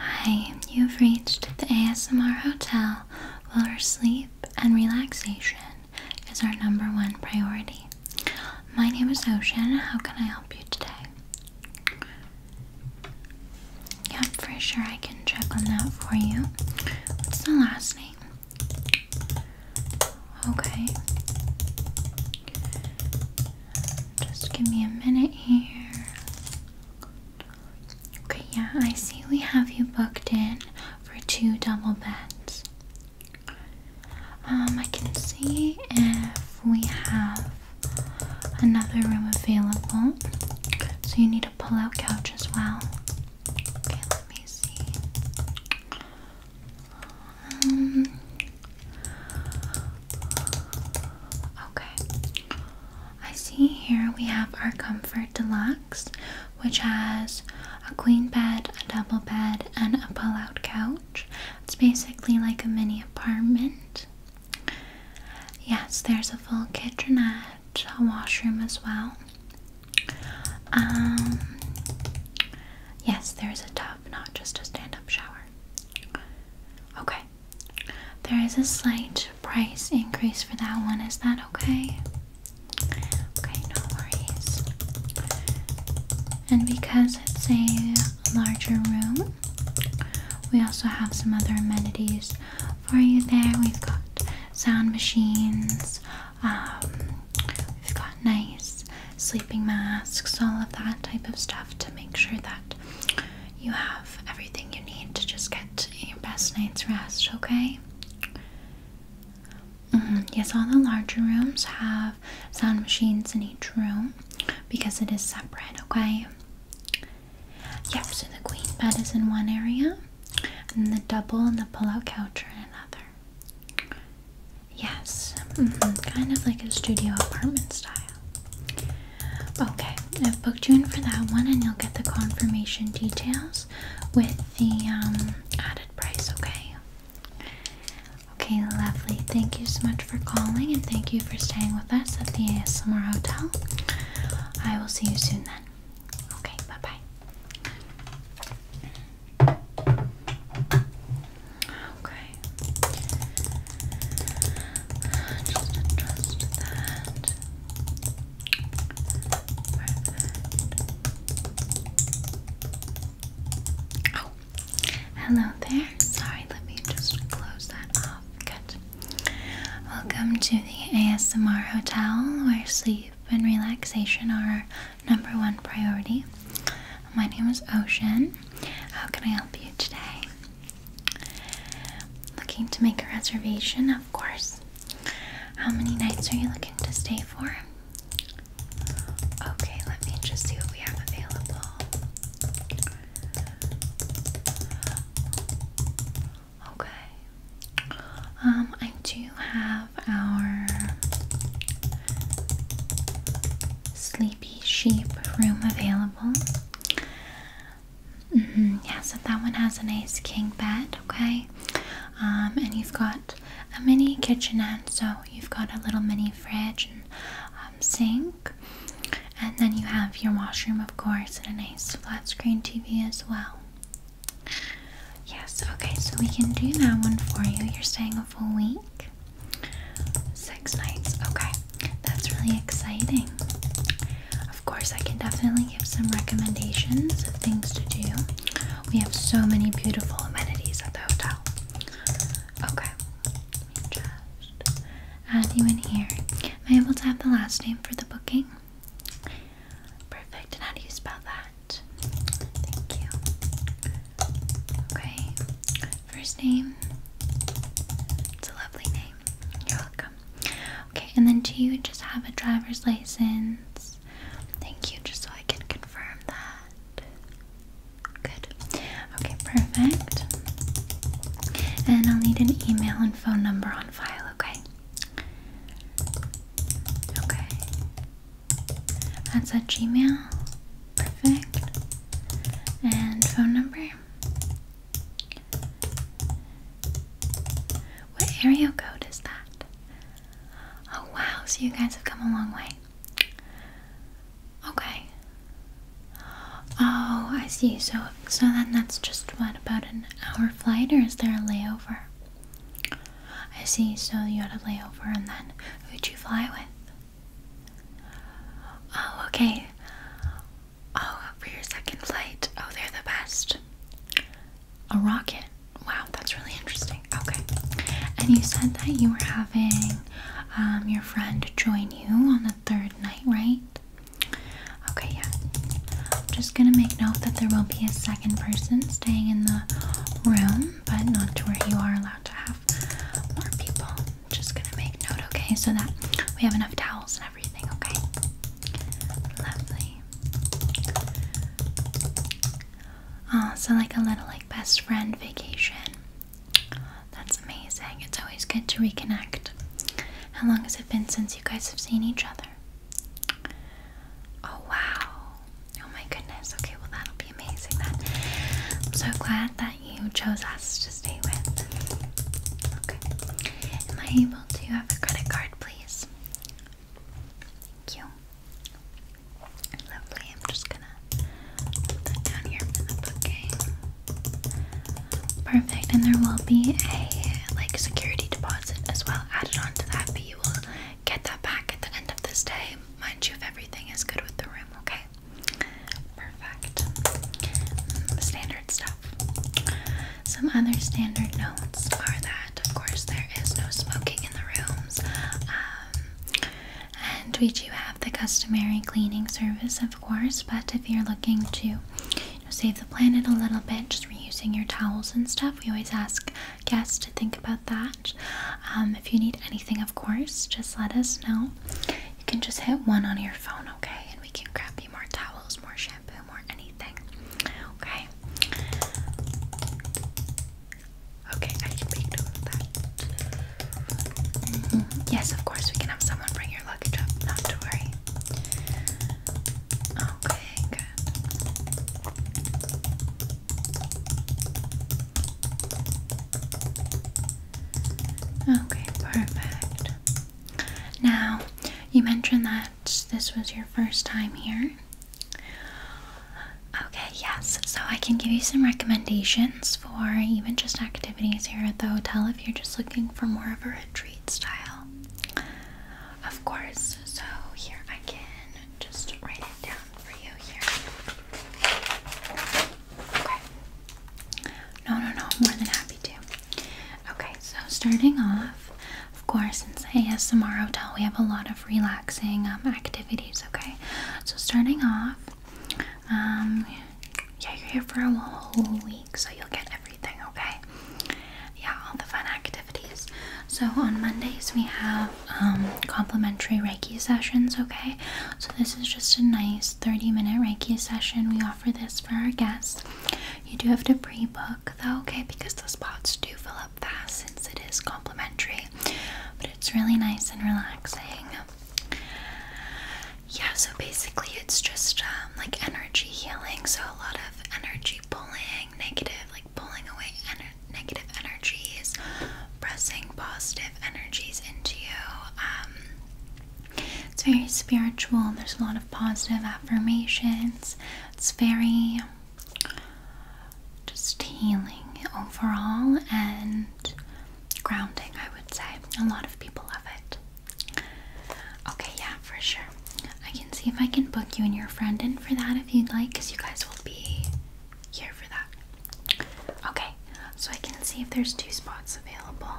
Hi, you've reached the ASMR Hotel where sleep and relaxation is our number one priority. My name is Ocean. How can I help you today? Yeah, for sure I can check on that for you. What's the last name? Okay. Just give me a minute here. Okay, yeah, I see we have you booked in for two double beds. Um, I can see if we have another room available. So you need a pull-out couch as well. Okay, let me see. Um, okay. I see here we have our Comfort Deluxe, which has a queen bed, a double bed, and a pull-out couch. It's basically like a mini apartment. Yes, there's a full kitchenette, a washroom as well. Um, yes, there's a tub, not just a stand up shower. Okay, there is a slight price increase for that one. Is that okay? Okay, no worries. And because course, it's a larger room. We also have some other amenities for you there. We've got sound machines, um, we've got nice sleeping masks, all of that type of stuff to make sure that you have everything you need to just get your best night's rest, okay? Mm-hmm. Yes, all the larger rooms have sound machines in each room because it is separate, okay? Yep, so the queen bed is in one area, and the double and the pillow couch are in another. Yes, mm-hmm, kind of like a studio apartment style. Okay, I've booked you in for that one, and you'll get the confirmation details with the um, added price, okay? Okay, lovely. Thank you so much for calling and thank you for staying with us at the ASMR Hotel. I will see you soon then. Okay, bye bye. Okay. Just adjust that. Oh, Hello there. Sorry, let me just close that off. Good. Welcome to the ASMR Hotel, where sleep and relaxation are our number one priority. My name is Ocean. How can I help you today? Looking to make a reservation, of course. How many nights are you looking to stay for? Okay, let me just see what we have available. Okay. Um, I do have our sleepy sheep room available. Mm-hmm, yeah, so that one has a nice king bed, okay? Um, and you've got a mini kitchenette, so you've got a little mini fridge and um, sink. And then you have your washroom, of course, and a nice flat screen TV as well. Yes, okay, so we can do that one for you. You're staying a full week, six nights. Okay, that's really exciting. Of course, I can definitely give some recommendations of things to do. We have so many beautiful amenities at the hotel. Okay. just add you in here. Am I able to have the last name for the booking? Perfect. how do you spell that? Thank you. Okay. First name. It's a lovely name. You're welcome. Okay, and then do you just have a driver's license? Thank you, just so I can confirm that. Good. Okay, perfect. And I'll need an email and phone number on file, okay? Okay. That's a Gmail. Perfect. And phone number. What area code is that? Oh wow, so you guys have come a long way. Okay. Oh, I see. So, so then that's just what about an hour flight, or is there a layover? I see. So you had a layover, and then who'd you fly with? Oh, okay. Oh, for your second flight. Oh, they're the best. A rocket. Wow, that's really interesting. Okay. And you said that you were having um, your friend join you on the third night, right? Okay, yeah. I'm just gonna make note that there will be a second person staying in the room, but not to where you are allowed to have more people. just gonna make note, okay, so that we have enough towels and everything, okay? Lovely. Oh, so like a little like best friend vacation. That's amazing. It's always good to reconnect. How long has it been since you guys have seen each other? Oh wow. Oh my goodness. Okay, well that'll be amazing then. I'm so glad that you chose us to stay with. Okay. Am I able to have a credit card, please? Thank you. Lovely. I'm just gonna Put Perfect, and there will be a like security deposit as well added on that, but you will get that back at the end of this day. Mind you, if everything is good with the room, okay? Perfect. Mm, standard stuff. Some other standard notes are that, of course, there is no smoking in the rooms. Um, and we do have the customary cleaning service, of course, but if you're looking to save the planet a little bit, just reusing your towels and stuff, we always ask guests to think about that. Um, if you need anything, of course, just let us know. You can just hit one on your phone, okay? And we can grab you more towels, more shampoo, more anything. Okay. Okay, I can make note that. Mm-hmm. Yes, of course, we can have someone bring your luggage up, not to worry. Okay, Okay, perfect. Now, you mentioned that this was your first time here. Okay, yes, so I can give you some recommendations for even just activities here at the hotel if you're just looking for more of a retreat style. Of course, so here I can just write it down for you here. Okay. No, no, no, more than happy to. Okay, so starting off, of course, since ASMR Hotel, we have a lot of relaxing um, activities, okay? So starting off, um, yeah, you're here for a whole week, so you'll get everything, okay? Yeah, all the fun activities. So on Mondays we have um, complimentary Reiki sessions, okay? So this is just a nice 30-minute Reiki session. We offer this for our guests. You do have to pre-book though, okay? Because the spots do fill up fast since it is complimentary. But it's really nice and relaxing. Yeah, so basically it's just um, like energy healing, so a lot of energy pulling, negative, like pulling away negative energies, pressing positive energies into you. Um, it's very spiritual, there's a lot of positive affirmations, it's very just healing overall and grounding, I would say. A lot of people love it. Okay, yeah, for sure. I can see if I can book you and your friend in for that if you'd like, because you guys will be here for that. Okay, so I can see if there's two spots available.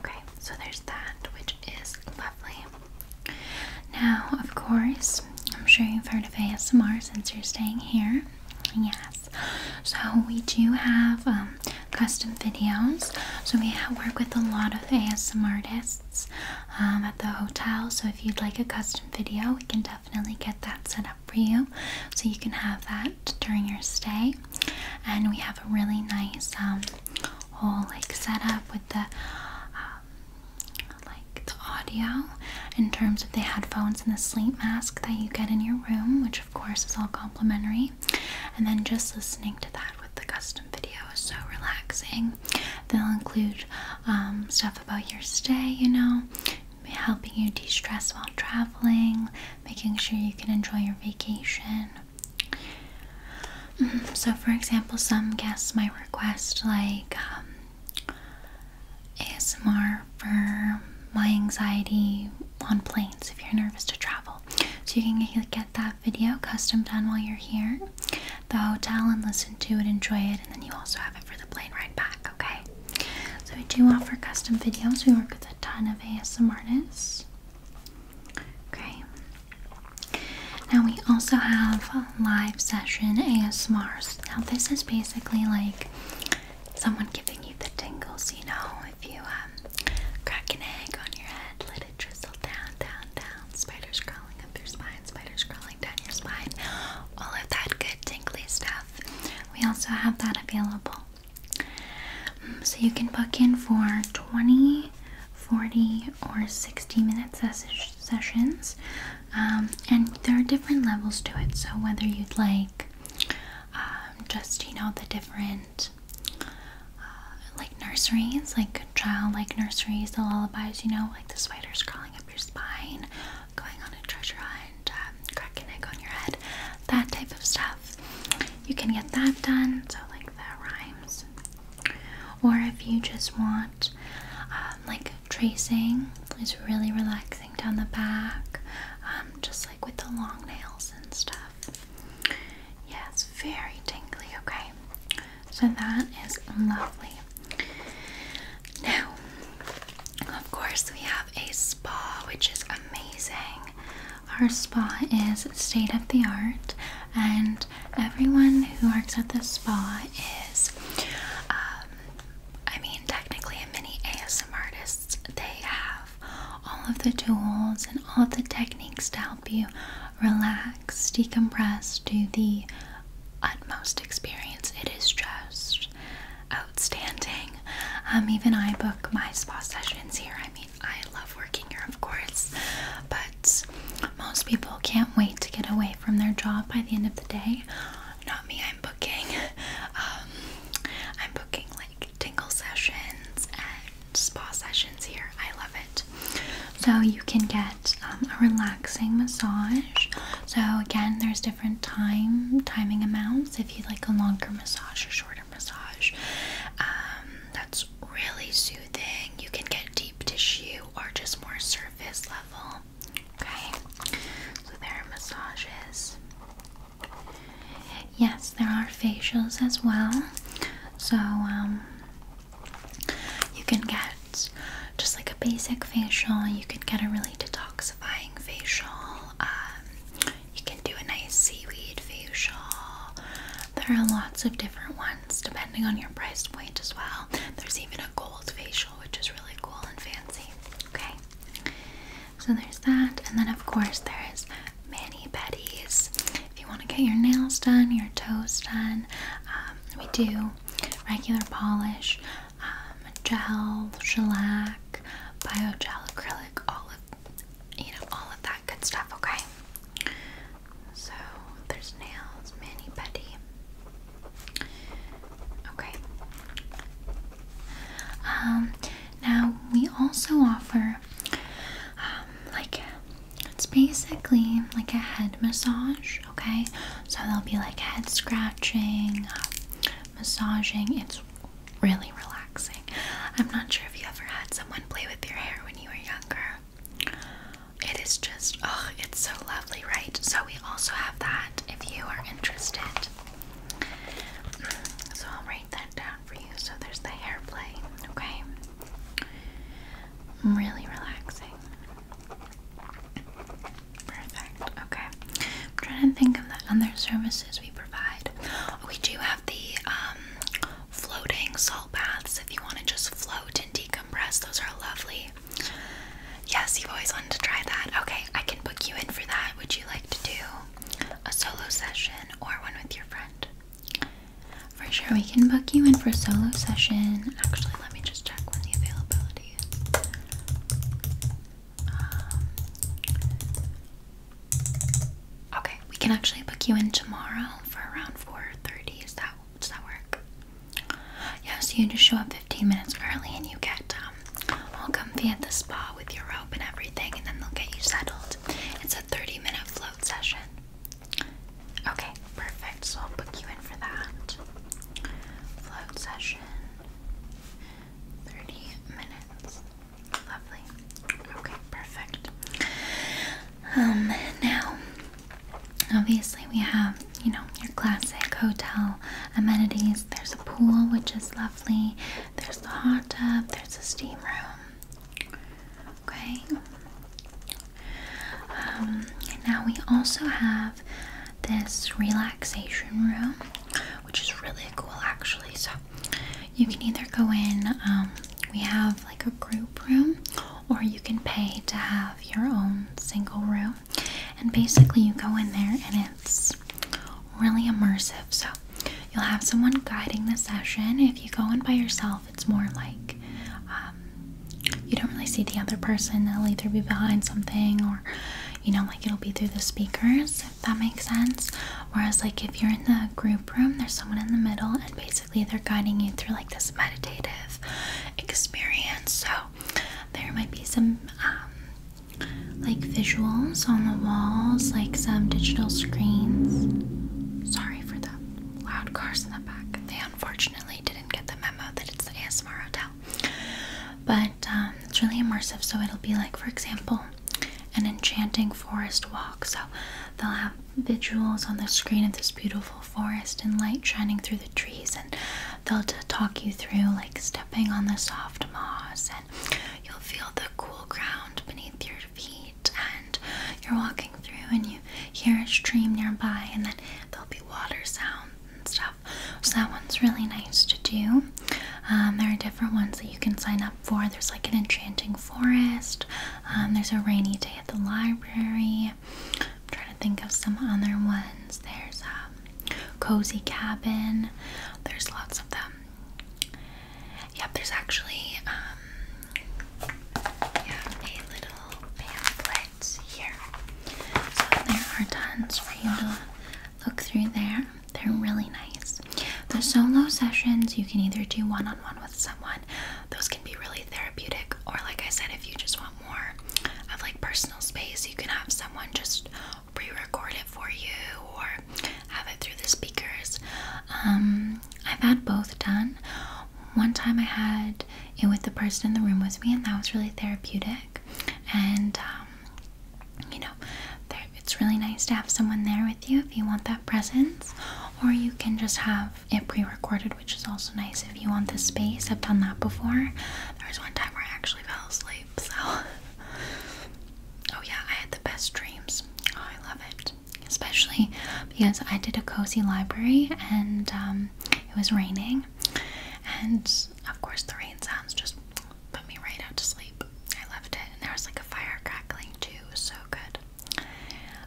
Okay, so there's that, which is lovely. Now, of course, I'm sure you've heard of ASMR since you're staying here. Yes. So we do have um, custom videos. So we work with a lot of ASM artists um, at the hotel. So if you'd like a custom video, we can definitely get that set up for you. So you can have that during your stay. And we have a really nice um, whole like setup with the um, like the audio in terms of the headphones and the sleep mask that you get in your room, which of course is all complimentary. And then just listening to that with the custom video is so relaxing. They'll include um, stuff about your stay, you know, helping you de stress while traveling, making sure you can enjoy your vacation. Mm-hmm. So, for example, some guests might request like um, ASMR for my anxiety on planes if you're nervous to travel. So you can get that video custom done while you're here, the hotel, and listen to it, enjoy it, and then you also have it for the plane ride back, okay? So we do offer custom videos. We work with a ton of ASMR artists. Okay. Now we also have live session ASMRs. Now this is basically like someone giving you the tingles, you know, if you um, crack an egg on your head, let it drizzle down, down, down, spiders crawling up your spine, spiders crawling down your spine, all of that good tingly stuff. We also have that available. Mm, so you can book in for 20, 40, or 60 minute sessions. Um, and there are different levels to it. So whether you'd like um, just you know the different uh, like nurseries, like child like nurseries, the lullabies, you know, like the spiders crawling up your spine, going on a treasure hunt, um, cracking egg on your head, that type of stuff. You can get that done, so like that rhymes. Or if you just want um, like tracing, it's really relaxing down the back, um, just like with the long nails and stuff. Yeah, it's very tingly, okay? So that is lovely. Now, of course, we have a spa, which is amazing. Our spa is state of the art, and everyone who works at the spa is uh, I mean, technically, many ASM artists they have all of the tools and all of the techniques to help you relax, decompress do the utmost experience. It is just outstanding. Um, even I book my spa sessions here. I mean, I love working here, of course, but most people can't wait to get away from their job by the end of the day not me, I'm booking. Um, I'm booking like tingle sessions and spa sessions here. I love it. So you can get um, a relaxing massage. So again, there's different time timing amounts if you like a longer massage or shorter massage. Um, that's really soothing. You can get deep tissue or just more surface level. Okay, so there are massages. Yes, there are facials as well. So, um, you can get just like a basic facial, you can get a really detoxifying facial, um, you can do a nice seaweed facial. There are lots of different ones depending on your price point as well. There's even a gold facial, which is really cool and fancy. Okay. So there's that, and then of course there's Manny Betty's. If you want to get your nails done, your toes done, um, we do regular polish, um, gel, shellac, gel, acrylic, all of you know all of that good stuff. Okay. So there's nails, Manny Betty. Okay. Um, now, we also offer um, like it's basically like a head massage, okay? So there'll be like head scratching, um, massaging. It's really relaxing. I'm not sure if you ever had someone play with your hair when you were younger. It is just, oh, it's so lovely, right? So we also have that if you are interested. So I'll write that down for you. So there's the hair play, okay? Really relaxing. Perfect, okay. I'm trying to think of the other services we provide. Oh, we do have the um, floating salt baths if you want to just float and decompress. Those are lovely. Yes, you've always wanted to try that. Okay, I can book you in for that. Would you like to do a solo session, or one with your friend. For sure, we can book you in for a solo session. Actually, let me just check when the availability is. Um, okay, we can actually book you in tomorrow for around 4.30. Is that, does that work? Yeah, so you just show up 15 minutes early and you get um, I'll come at the spa with your robe and everything, and then they'll get you settled. It's a 30 minute float session. Okay, perfect. So I'll book you in for that. Float session 30 minutes. Lovely. Okay, perfect. Um, now, obviously, we have you know your classic hotel amenities. There's a pool, which is lovely. There's the hot tub, there's the steam room. Okay. Um, and now we also have this relaxation room, which is really cool actually. So you can either go in, um, we have like a group room, or you can pay to have your own single room. And basically, you go in there and it's really immersive. So you'll have someone guiding the session. If you go in by yourself, it's more like um, you don't really see the other person. They'll either be behind something or you know, like it'll be through the speakers, if that makes sense. Whereas, like, if you're in the group room, there's someone in the middle, and basically they're guiding you through like this meditative experience. So, there might be some um, like visuals on the walls, like some digital screens. Sorry for the loud cars in the back. They unfortunately didn't get the memo that it's the ASMR hotel. But um, it's really immersive, so it'll be like, for example, an enchanting forest walk. So they'll have visuals on the screen of this beautiful forest and light shining through the trees, and they'll talk you through like stepping on the soft moss and you'll feel the cool ground beneath your feet and you're walking through and you hear a stream nearby and then there'll be water sounds and stuff. So that one's really nice to do. Um, there are different ones that you can sign up for. There's like an enchanting forest. Um, there's a rainy day at the library. I'm trying to think of some other ones. There's a um, cozy cabin. There's lots of them yep, there's actually um, a little pamphlet here. So there are tons for you to look through there. They're really nice. The solo sessions, you can either do one on one with someone, those can be really therapeutic, or like I said, if you just want more of like personal space, you can have someone just pre record it for you or have it through the speakers. Um, I've had both done. One time I had it with the person in the room with me, and that was really therapeutic. And um, you know, it's really nice to have someone there with you if you want that presence, or you can just have it pre-recorded, which is also nice if you want the space. I've done that before. There was one time where I actually fell asleep, so Oh, yeah, I had the best dreams. Oh, I love it. Especially because I did a cozy library and um, it was raining. And of course, the rain sounds just put me right out to sleep. I loved it. And there was like a fire crackling too. It was so good.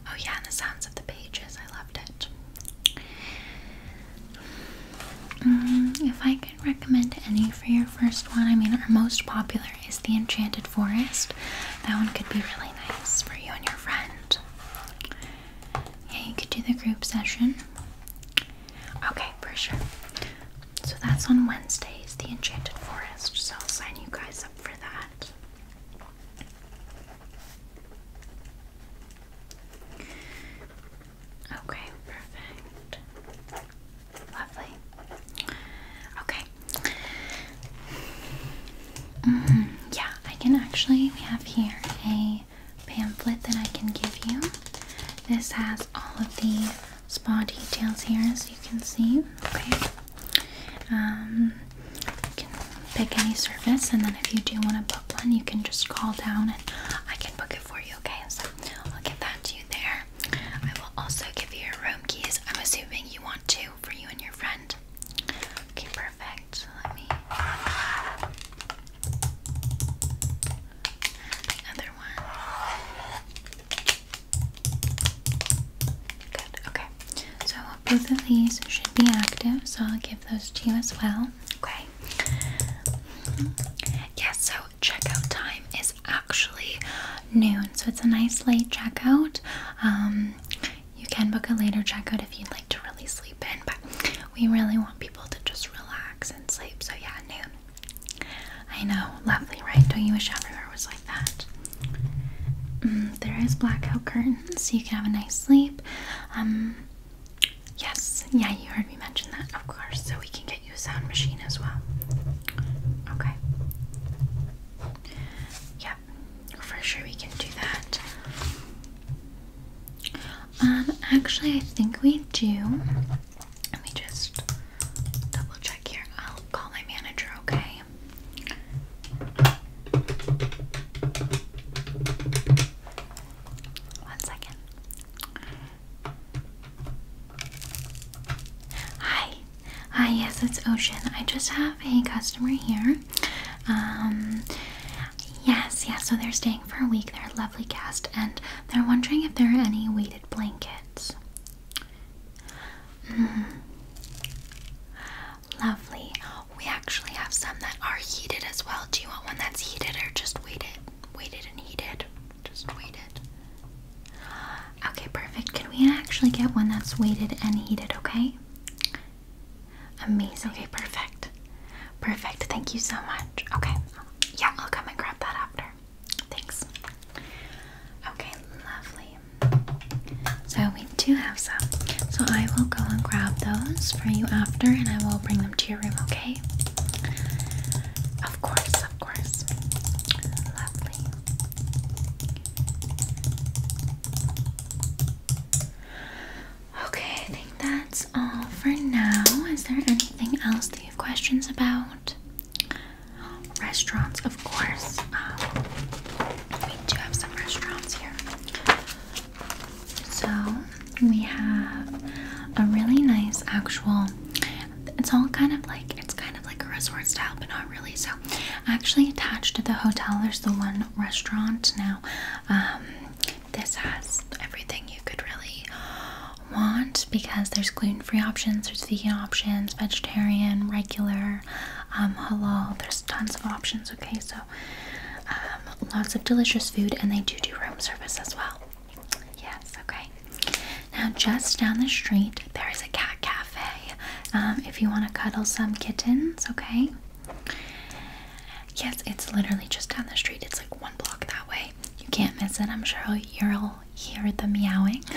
Oh, yeah, and the sounds of the pages. I loved it. Mm, if I can recommend any for your first one. I mean, our most popular is the Enchanted Forest. That one could be really nice for you and your friend. Yeah, you could do the group session. Okay, for sure. So that's on Wednesdays, the Enchanted Forest. So I'll sign you guys up for that. Okay, perfect. Lovely. Okay. Mm-hmm. Yeah, I can actually. We have here a pamphlet that I can give you. This has all of the spa details here, as you can see. Okay. Um, you can pick any service, and then if you do want to book one, you can just call down and I can book it for you. Okay, so I'll get that to you there. I will also give you your room keys. I'm assuming you want two for you and your friend. Okay, perfect. Let me. The one. Good, okay. So both of these should be active, so I'll give those to you as well. Okay. Mm-hmm. Yes, so checkout time is actually noon, so it's a nice late checkout. Um, you can book a later checkout if you'd like to really sleep in, but we really want people to just relax and sleep, so yeah, noon. I know, lovely, right? Don't you wish everywhere was like that? Mm, there is blackout curtains, so you can have a nice sleep. Um, yes, yeah, you heard me mention that, of course, so we can get get you a sound machine as well. Okay. Yep, for sure we can do that. Um, actually, I think we do. Let me just double check here. I'll call my manager, okay? One second. Hi. Hi, yes, it's Ocean. I just have a customer here. Um, yes, yes, so they're staying for a week. They're a lovely guest, and they're wondering if there are any weighted blankets. Mm-hmm. Lovely. We actually have some that are heated as well. Do you want one that's heated or just weighted? Weighted and heated. Just weighted. Okay, perfect. Can we actually get one that's weighted and heated, okay? Amazing. Okay, perfect. Perfect. Thank you so much. Okay. Yeah, I'll come and grab that after. Thanks. Okay, lovely. So we do have some. So I will go and grab those for you after and I will bring them to your room, okay? Of course of course. Lovely. Okay, I think that's all for now. Is there anything else that you have questions about? Restaurants, of course. Um, we do have some restaurants here. So we have a really nice actual it's all kind of like it's kind of like a resort style, but not really. So, actually attached to the hotel, there's the one restaurant now. Um, this has everything you could really want because there's gluten-free options, there's vegan options, vegetarian, regular, um, halal. There's tons of options. Okay, so um, lots of delicious food, and they do do room service as well. Yes, okay. Now, just down the street, there is a cat cafe. Um, if you want to cuddle some kittens, okay? Yes, it's literally just down the street. It's like one block that way. You can't miss it. I'm sure you'll hear the meowing.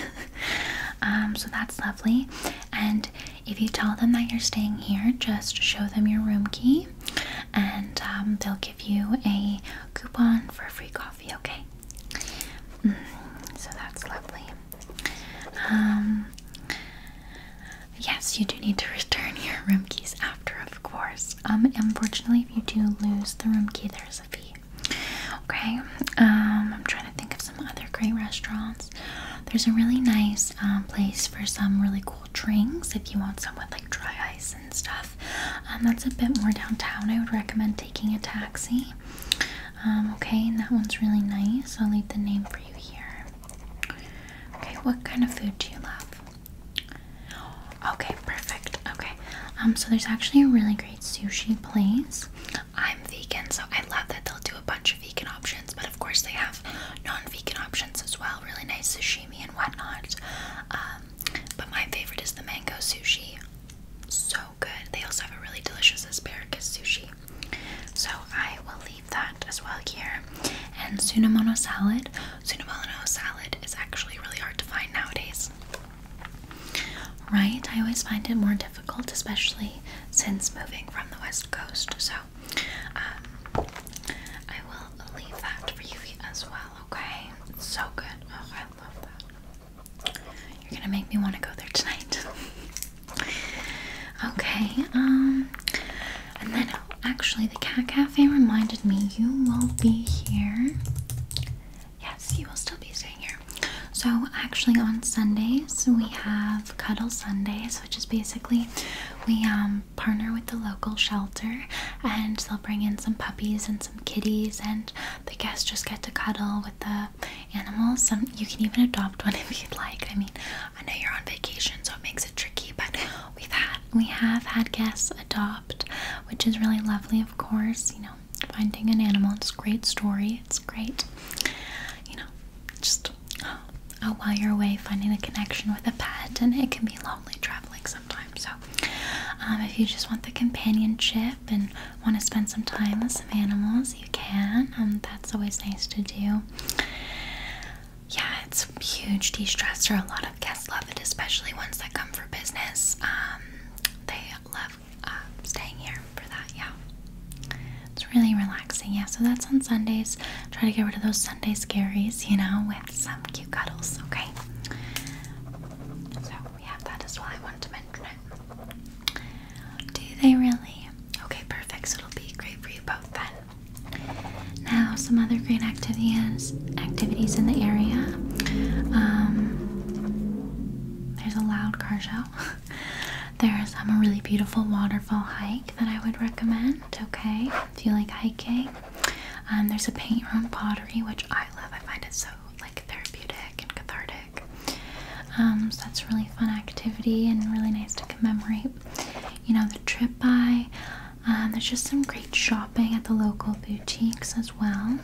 Um, so that's lovely. And if you tell them that you're staying here, just show them your room key and um, they'll give you a coupon for free coffee, okay? Mm, so that's lovely. Um, yes, you do need to return your room keys after, of course. Um, unfortunately, if you do lose the room key, there's a fee. Okay. Um, I'm trying to think of some other great restaurants. There's a really nice place for some really cool drinks if you want some with like dry ice and stuff. that's a bit more downtown. I would recommend taking a taxi. Um, okay, and that one's really nice. I'll leave the name for you here. Okay, what kind of food do you love? Okay, perfect. Okay, um, so there's actually a really great sushi place. I'm vegan, so I love that they'll do a bunch of vegan options, but of course they have non-vegan options as well. Really nice sashimi and whatnot. Um, but my favorite is the mango sushi. So good. They also have a really delicious asparagus sushi. So I will leave that as well here. And Tsunamono salad. Tsunamono salad is actually really hard to find nowadays. Right? I always find it more difficult, especially since moving from the west coast. So um, I will leave that for you as well, okay? so good. Oh, I love that. You're gonna make me want to go there tonight. okay, um, and then actually, the cat cafe reminded me you will be here. Yes, you will still be staying here. So, actually, on Sundays, we have Cuddle Sundays, which is basically we um, partner with the local shelter and they'll bring in some puppies and some kitties, and the guests just get to cuddle with the animals. Some you can even adopt one if you'd like. I mean, I know you're on vacation, so it makes it tricky, but we've had we have had guests adopt, which is really lovely. Of course, you know, finding an animal. It's great story. It's great. You know, just oh, while you're away, finding a connection with a pet, and it can be lonely traveling sometimes. So, um, if you just want the companionship and want to spend some time with some animals, you can. Um, that's always nice to do. Yeah, it's huge de-stressor. A lot of guests love it, especially ones that come for business. Um, they love um, staying here for that. Yeah, it's really relaxing. Yeah, so that's on Sundays. Try to get rid of those Sunday scaries, you know, with some cute cuddles. Okay. So we have that as well. I wanted to mention it. Do they really? Okay, perfect. So it'll be great for you both then. Now, some other great activities activities in the area. Um, there's a loud car show. there's um, a really beautiful waterfall hike that I would recommend. Okay, if you like hiking. Um, there's a paint room pottery, which I love. I find it so like therapeutic and cathartic. Um, so that's a really fun activity and really nice to commemorate. You know, the trip by. Um, there's just some great shopping at the local boutiques as well.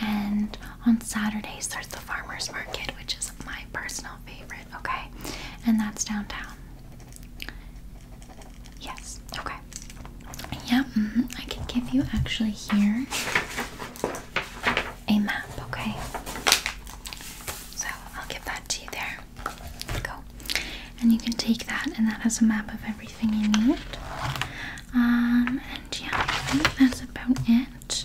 And on Saturdays, there's the farmers market, which is my personal favorite, okay? And that's downtown. Yes, okay. Yeah, mm-hmm, I can give you actually here a map, okay? So I'll give that to you there. Go. And you can take that, and that has a map of everything you need. Um, and yeah, I think that's about it.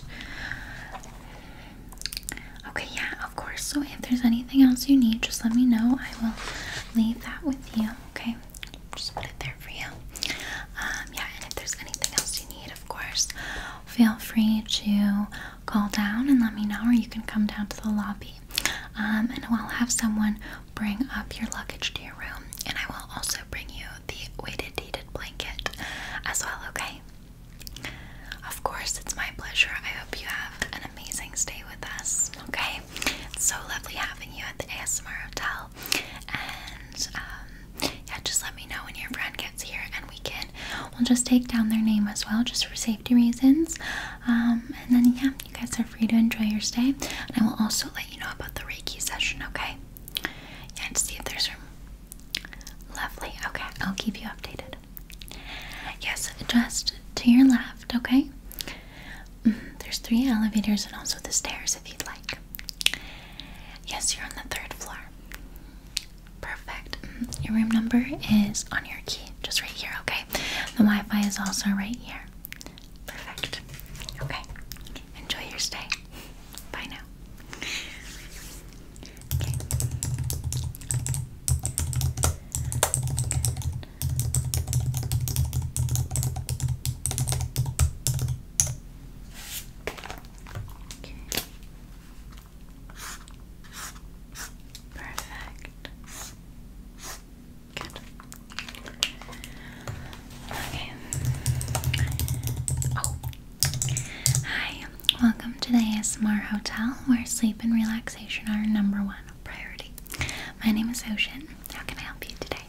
Okay, yeah, of course. So if there's anything else you need, just let me know. I will leave that with you, okay? just put it there for you. Um, yeah, and if there's anything else you need, of course, feel free to call down and let me know, or you can come down to the lobby. Um, and I'll have someone bring up your luggage to your room, and I will also bring you the weighted heated blanket as well, okay? Of course, it's my pleasure. I hope you have an amazing stay with us, okay? It's so lovely having you at the ASMR Hotel. And um, yeah, just let me know when your friend gets here, and we can we'll just take down their name as well, just for safety reasons. Um, and then yeah, you guys are free to enjoy your stay, I will also let you know about the Reiki session. Okay? Yeah, and see if there's room. Lovely. Okay, I'll keep you updated. Yes, just to your left. Okay. Mm, there's three elevators and also the stairs if you'd like. Yes, you're on the third floor. Perfect. Mm-hmm. Your room number is on your key, just right here, okay? The Wi Fi is also right here. Perfect. Okay. Enjoy your stay. Bye now. Perfect. Okay. Oh. Hi. Welcome to the ASMR Hotel where sleep and relaxation are number one priority. My name is Ocean. How can I help you today?